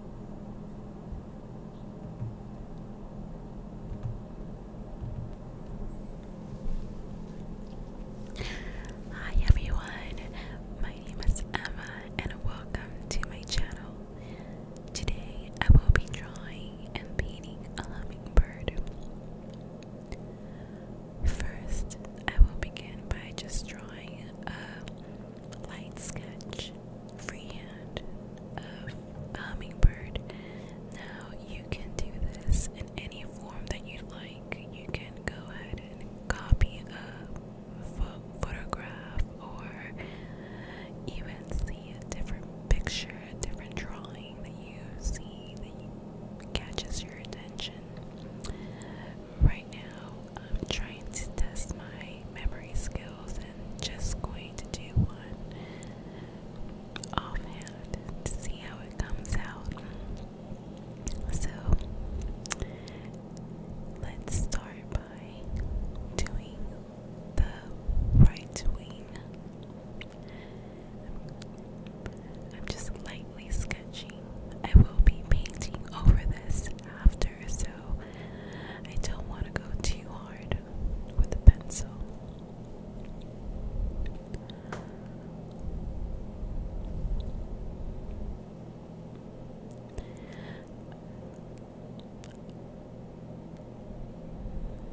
Hi everyone, my name is Emma and welcome to my channel. Today I will be drawing and painting a hummingbird. First, I will begin by just drawing a light sketch freehand a hummingbird. Now you can do this in any form that you would like. You can go ahead and copy a pho photograph or even see a different picture, a different drawing that you see that catches your attention. Right now, I'm trying to test my memory skills and just going to do one offhand see how it comes out. So let's start by doing the right wing. I'm just lightly sketching. I will be painting over this after so I don't want to go too hard with the pencil.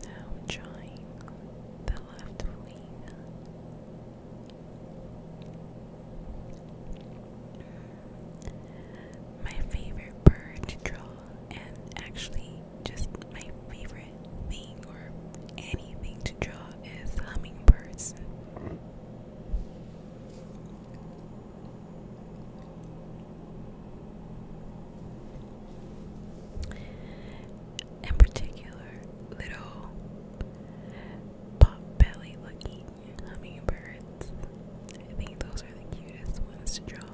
Now I'm drawing the left wing. My favorite bird to draw, and actually, just my favorite thing or anything to draw is hummingbirds. In particular, little pop belly looking hummingbirds. I think those are the cutest ones to draw.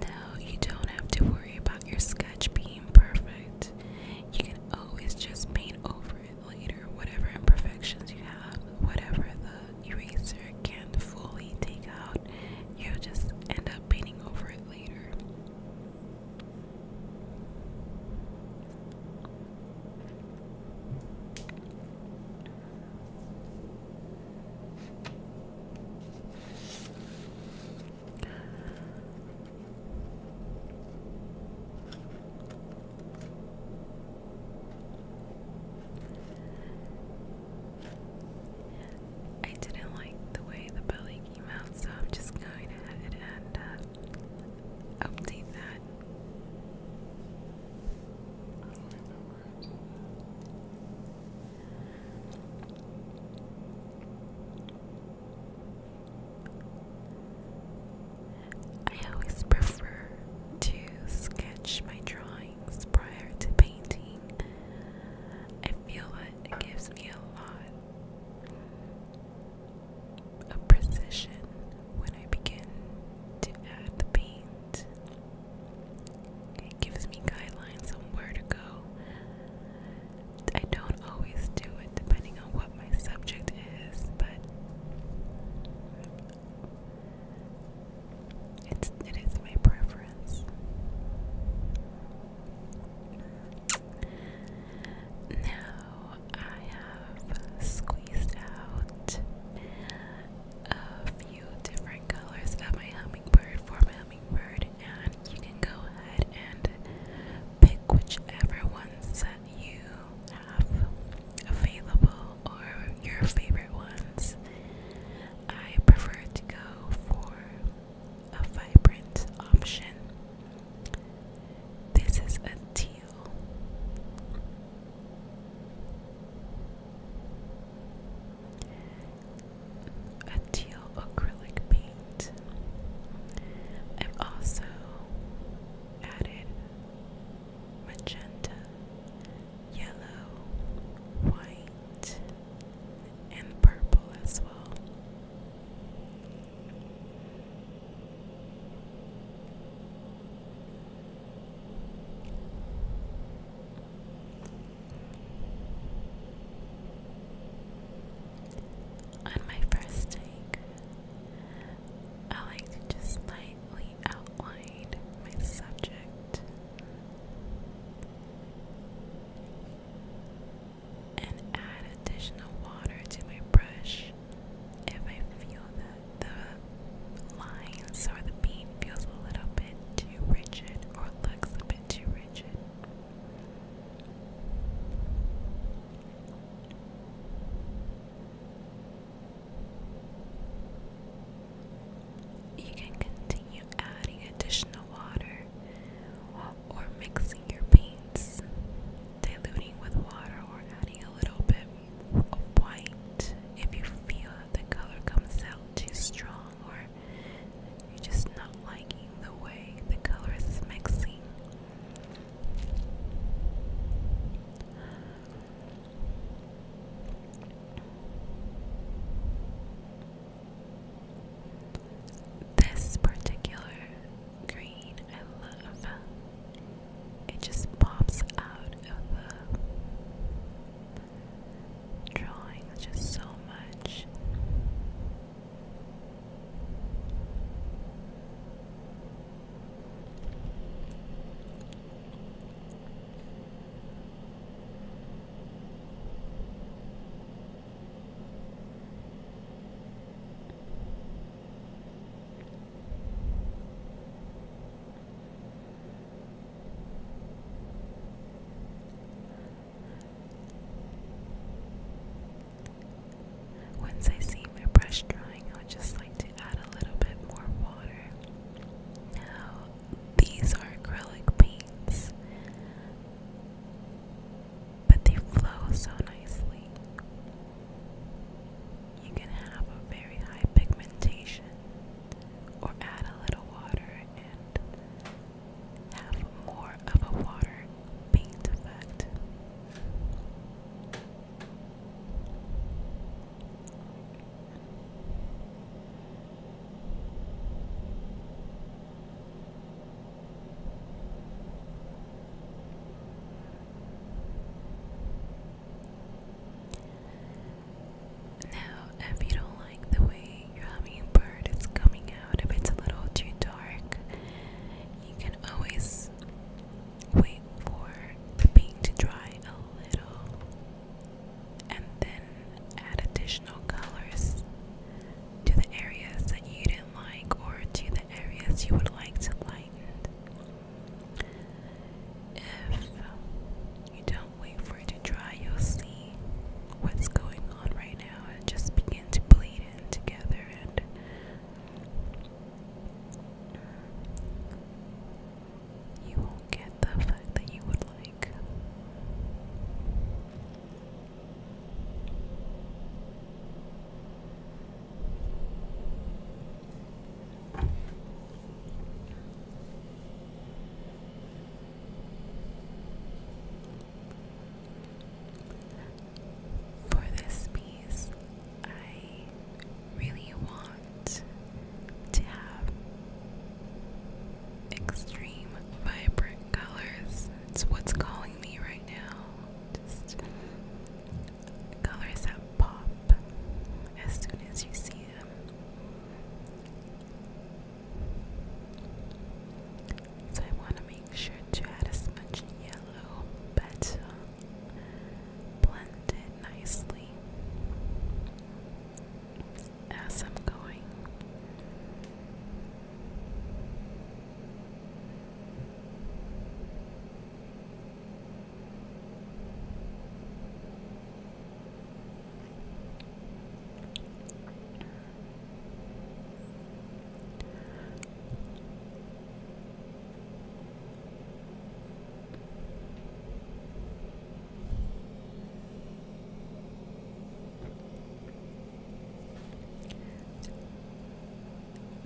Now, you don't have to worry about your sketch being perfect. You can always just paint over it later, whatever imperfections you have, whatever the eraser can fully take out, you'll just end up painting over it later. I didn't like the way the belly came out, so I'm just going to have uh, update that. I always prefer to sketch my drawings prior to painting. I feel it gives me a lot of precision when I begin to add the paint. It gives me guidelines on where to go. I don't always do it depending on what my subject is, but it's, it is my preference. Now, I have squeezed out a few different colors of my hummingbird for my hummingbird, and you can go ahead and pick whichever ones that you have available or your favorite ones. I prefer to go for a vibrant option. This is a tea you. A teal acrylic paint. I've also added magenta, yellow, white, and purple as well. On my first take, I like to just lightly outline my subject and add additional water to my brush if I feel that the lines or the bead feels a little bit too rigid or looks a bit too rigid. You can continue adding additional water or mixing your paints diluting with water or adding a little bit of white if you feel the color comes out too strong or you're just not liking the way the colors is mixing. This particular green I love. It just pops out of the drawing just so much. Once I see my brush drying, I would just like to add a little bit more water. Now, these are acrylic paints, but they flow so nicely. You can have a very high pigmentation or add a little water and have more of a water paint effect. Now, if you don't like the way your hummingbird is coming out, if it's a little too dark, you can always wait for the paint to dry a little and then add additional colors to the areas that you didn't like or to the areas you would like to lighten. If you don't wait for it to dry, you'll see what's going on right now and just begin to bleed in together and you won't get the effect that you would like. For this piece, I really want to have extreme vibrant colors. It's what's calling me right now colors that pop as soon as you see them. So I want to make sure to add as much yellow, but blend it nicely as I'm going.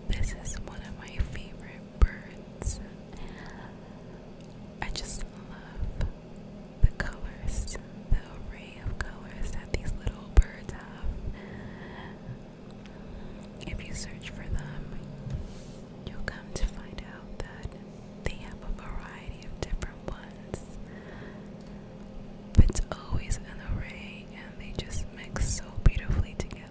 This is one of my favorite birds. I just love the colors, the array of colors that these little birds have. If you search for them, you'll come to find out that they have a variety of different ones. But it's always an array, and they just mix so beautifully together.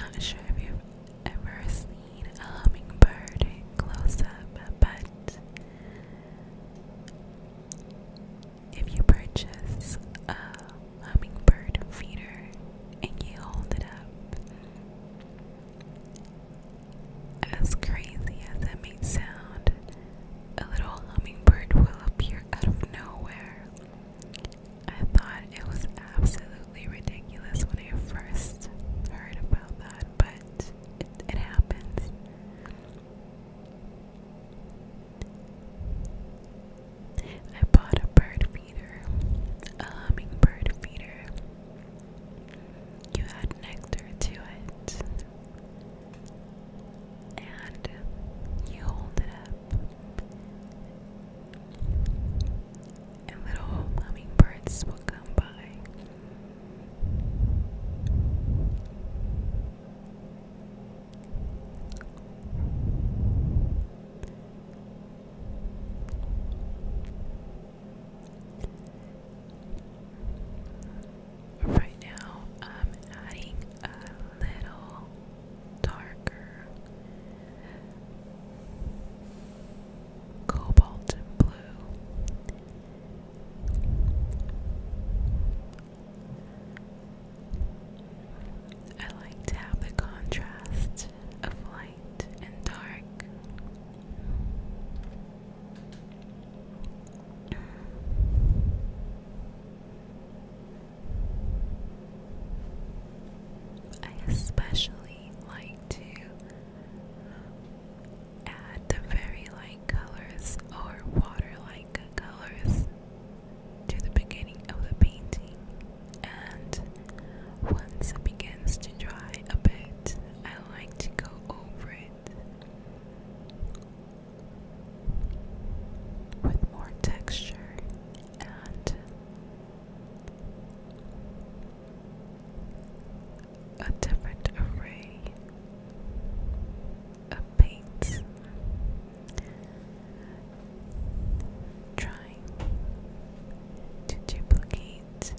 I'm not sure if you've ever seen a hummingbird close up, but if you purchase a hummingbird feeder and you hold it up, as crazy as that may sound, a little hummingbird will appear out of nowhere. I thought it was absolutely ridiculous when I first heard about that, but it happens. I bought a bird feeder, a hummingbird feeder. You add nectar to it, and you hold it up. And little hummingbirds will come by Right now, I'm adding a little darker cobalt blue. I like to have the contrast of light and dark. I especially like to add the very light colors or water like colors to the beginning of the painting, and once it begins to dry a bit, I like to go over it with more texture and a different array of paints, trying to duplicate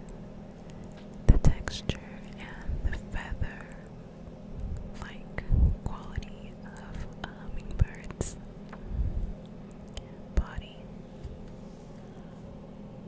the texture and the feather like quality of uh, hummingbird's body.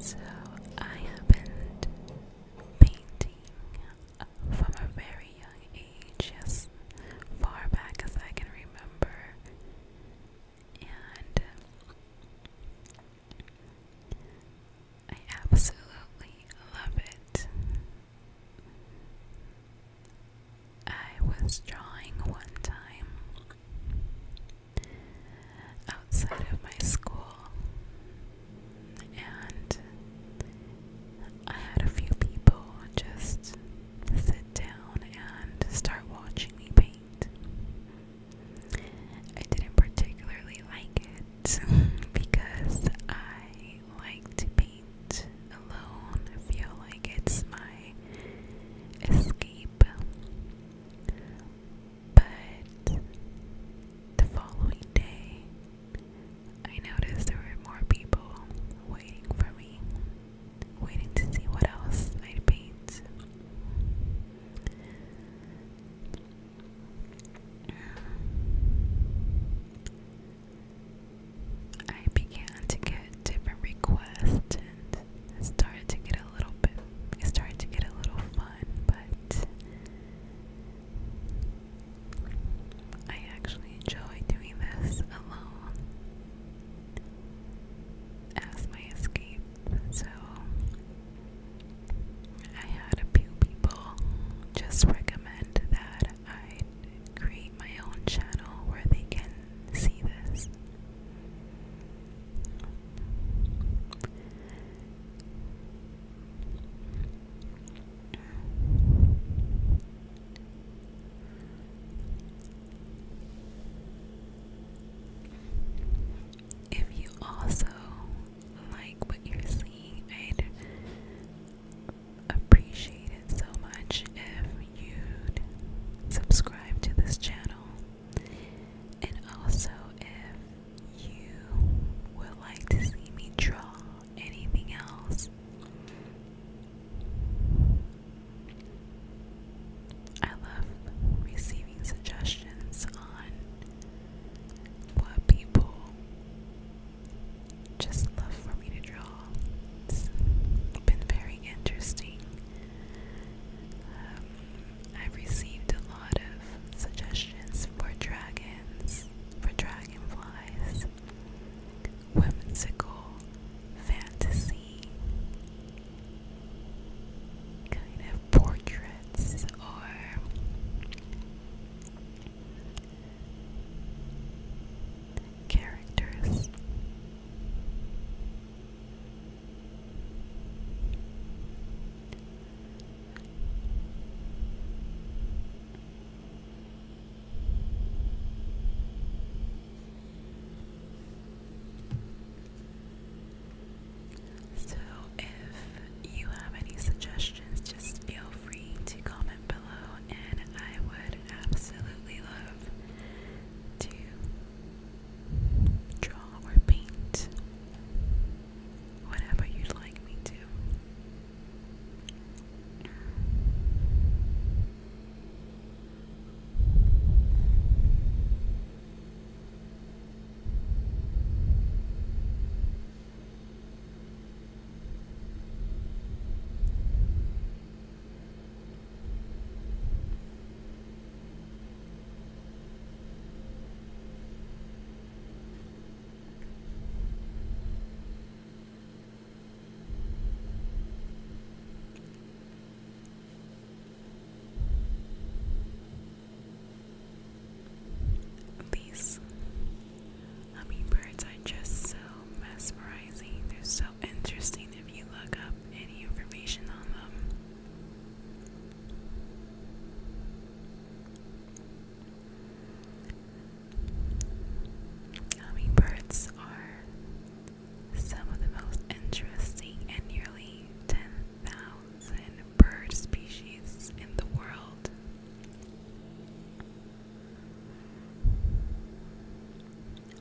So I have been painting from a very young age, as far back as I can remember, and I absolutely love it. I was drawing one time outside of my school, and I had a few people just sit down and start watching me paint. I didn't particularly like it because I like to paint alone. I feel like it's my escape. But the following day, I noticed there were more people waiting for me, waiting to see what else I'd paint. I began to get different requests and started to get a little bit it started to get a little fun, but I actually enjoy doing this alone as my escape. So I had a few people just recommend that I'd create my own channel where they can see this. If you also like what you're seeing, i appreciate it so much if you'd subscribe to this channel and also if you would like to see me draw anything else. I love receiving suggestions on what people just love for me to draw. It's been very interesting. Um, I've received a lot of suggestions for dragons, for dragonflies, whimsical, fantasy, kind of portraits or characters. So, if you have any suggestions, just feel free to comment below and I would absolutely love to draw or paint whatever you'd like me to. These Hummingbirds are just so mesmerizing. They're so interesting if you look up any information on them. Hummingbirds are some of the most interesting and nearly 10,000 bird species in the world.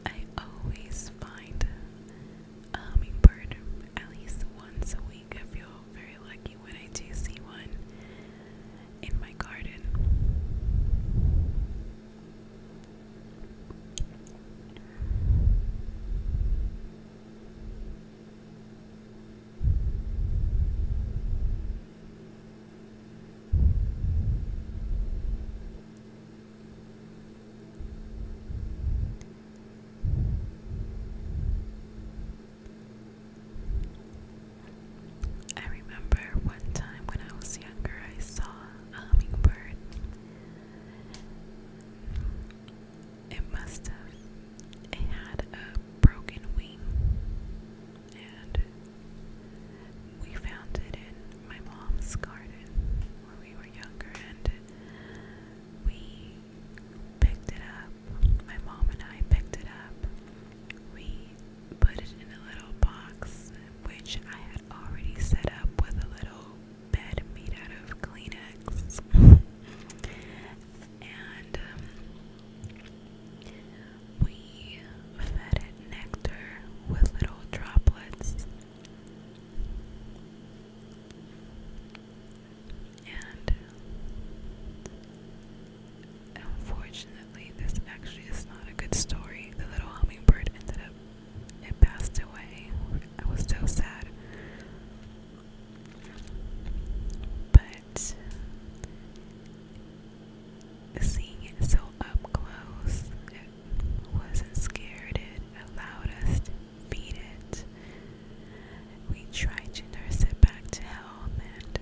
I always find a hummingbird at least once a week. I feel very lucky when I do see one in my garden. I remember one time when I was younger, I saw a hummingbird. It must have, it had a broken wing and we found it in my mom's garden when we were younger, and we picked it up. My mom and I picked it up. We put it in a little box, which I had already set up with a little bed made out of Kleenex. and um, we fed it nectar with little droplets. And unfortunately, this actually is not a good story. The little hummingbird ended up, it passed away. I was so sad. But Seeing it so up close, it wasn't scared, it allowed us to feed it. We tried to nurse it back to health and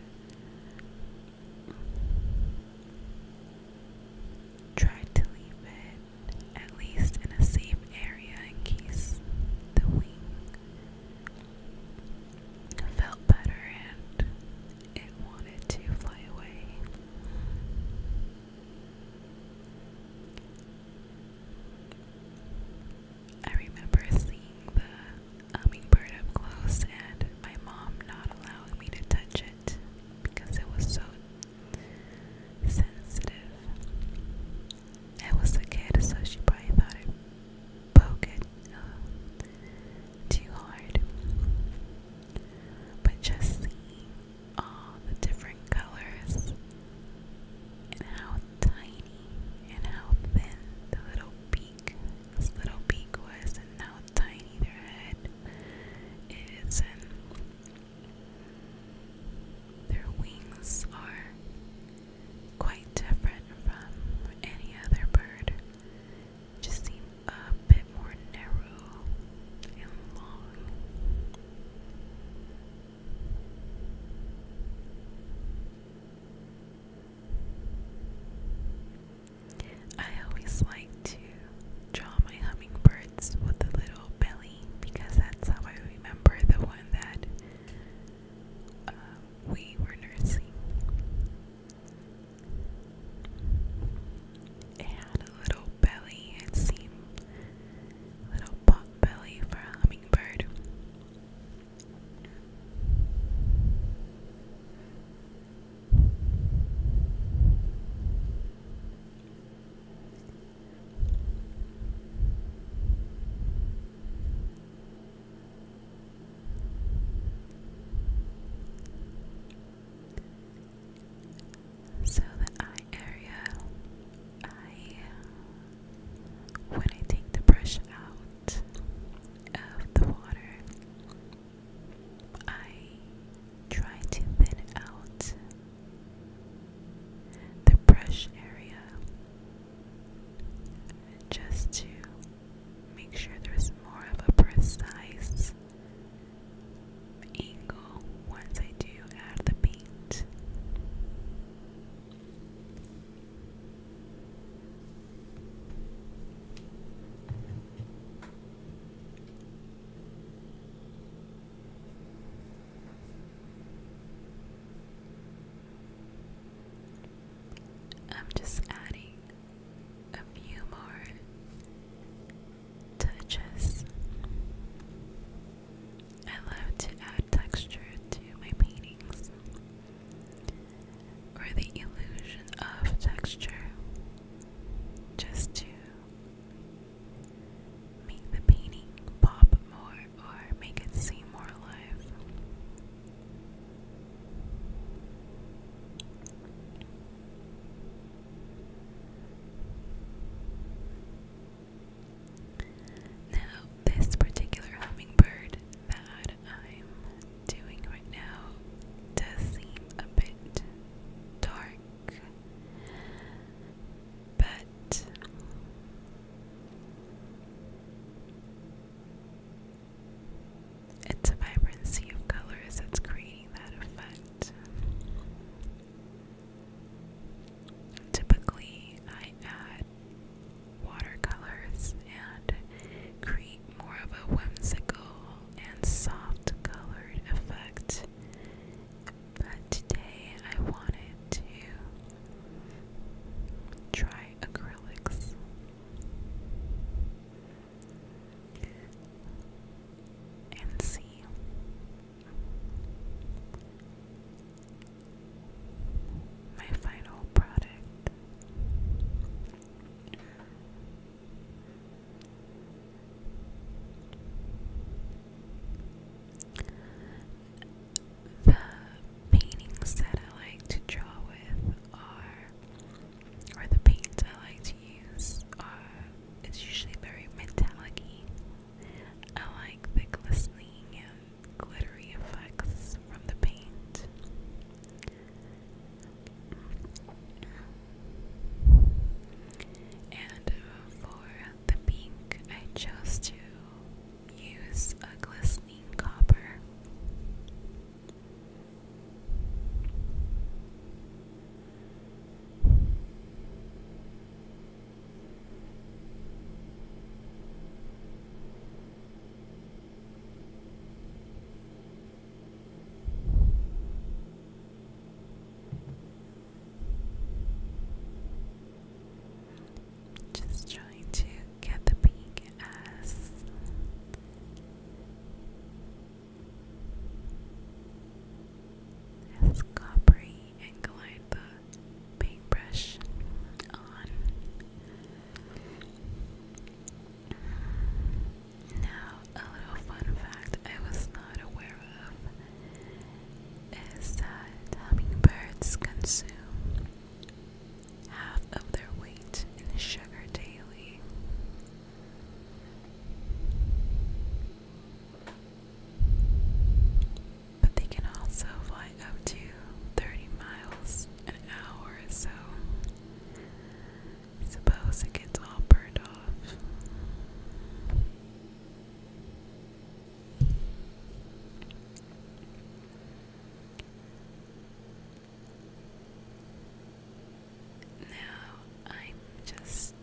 tried to leave it at least in a safe area in case the wing felt better and it wanted to fly away. I remember seeing the hummingbird up close and my mom not allowing me to touch it because it was so sensitive. I was a kid, so she probably thought it broke too hard. But just see all the different colors and how tiny and how thin the little beak, this little beak was, and how tiny their head is, and their wings are quite different from any other bird just seem a bit more narrow and long. I always like to draw my hummingbirds with a little belly because that's how I remember the one that uh, we were nursing. It had a little belly, it seemed. little pot belly for a hummingbird. So the eye area, I when I take the brush out of the water, I try to thin out the brush area just to make sure there's more of a precise angle once I do add the paint. I'm just adding a few more touches. I love to add texture to my paintings or the illusion of texture just to make the painting pop more or make it seem more alive. Now, this particular hummingbird that I'm doing right now does seem a bit dark, but it's a vibrancy of colors that's creating that effect. Typically, I add watercolors and create more of a whimsical and soft colored effect. But today I wanted to try acrylics and see my final product. The paintings that I like to draw with are or the paints I like to use are usually very metallic -y. I like the glistening glittery effects from the paint. And uh, for the pink, I chose to use a glistening copper. Just trying to get the pink as as coppery and glide the paintbrush on. Now, a little fun fact I was not aware of is that hummingbirds consume half of their weight in sugar daily. But they can also fly up to 30 miles an hour so. suppose it gets all burned off. Now I'm just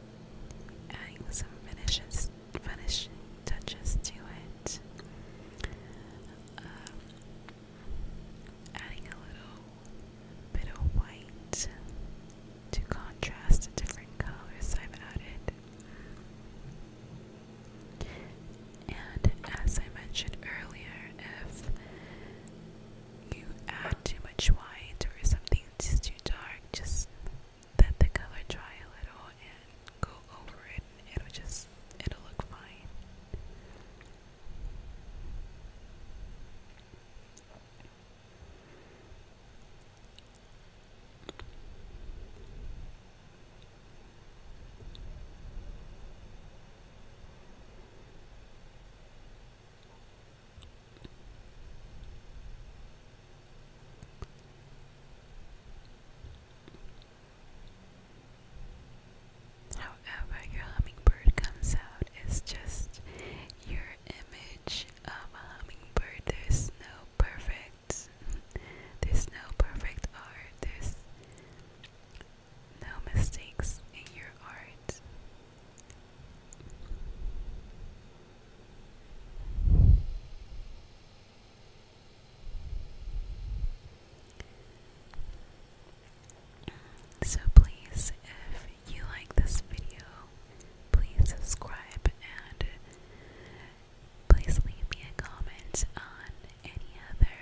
adding some finishes, finishing touches to it. Um, adding a little bit of white to contrast different colors I've added. And as I mentioned earlier, if you add too much white or something just too dark, just let the color dry a little and go over it it'll just it'll look fine. However, your hummingbird comes out is just your image of a hummingbird. There's no perfect, there's no perfect art, there's no mistakes in your art. So, please, if you like this video, please subscribe and please leave me a comment on any other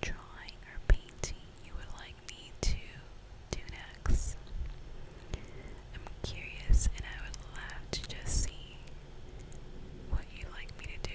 drawing or painting you would like like to do next. I'm curious and I would love to just see what you like me to do.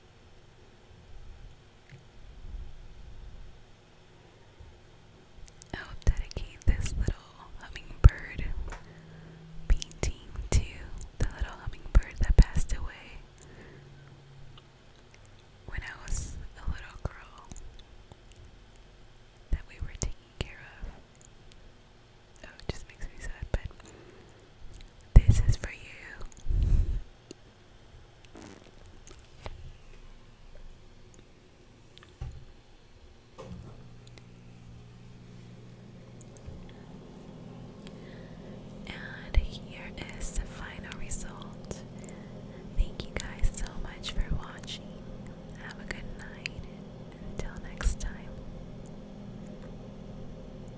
I'll oh, dedicate this little hummingbird painting to the little hummingbird that passed away when I was a little girl that we were taking care of. Oh, it just makes me sad, but this is for you. And here is the final result. Thank you guys so much for watching. Have a good night. Until next time.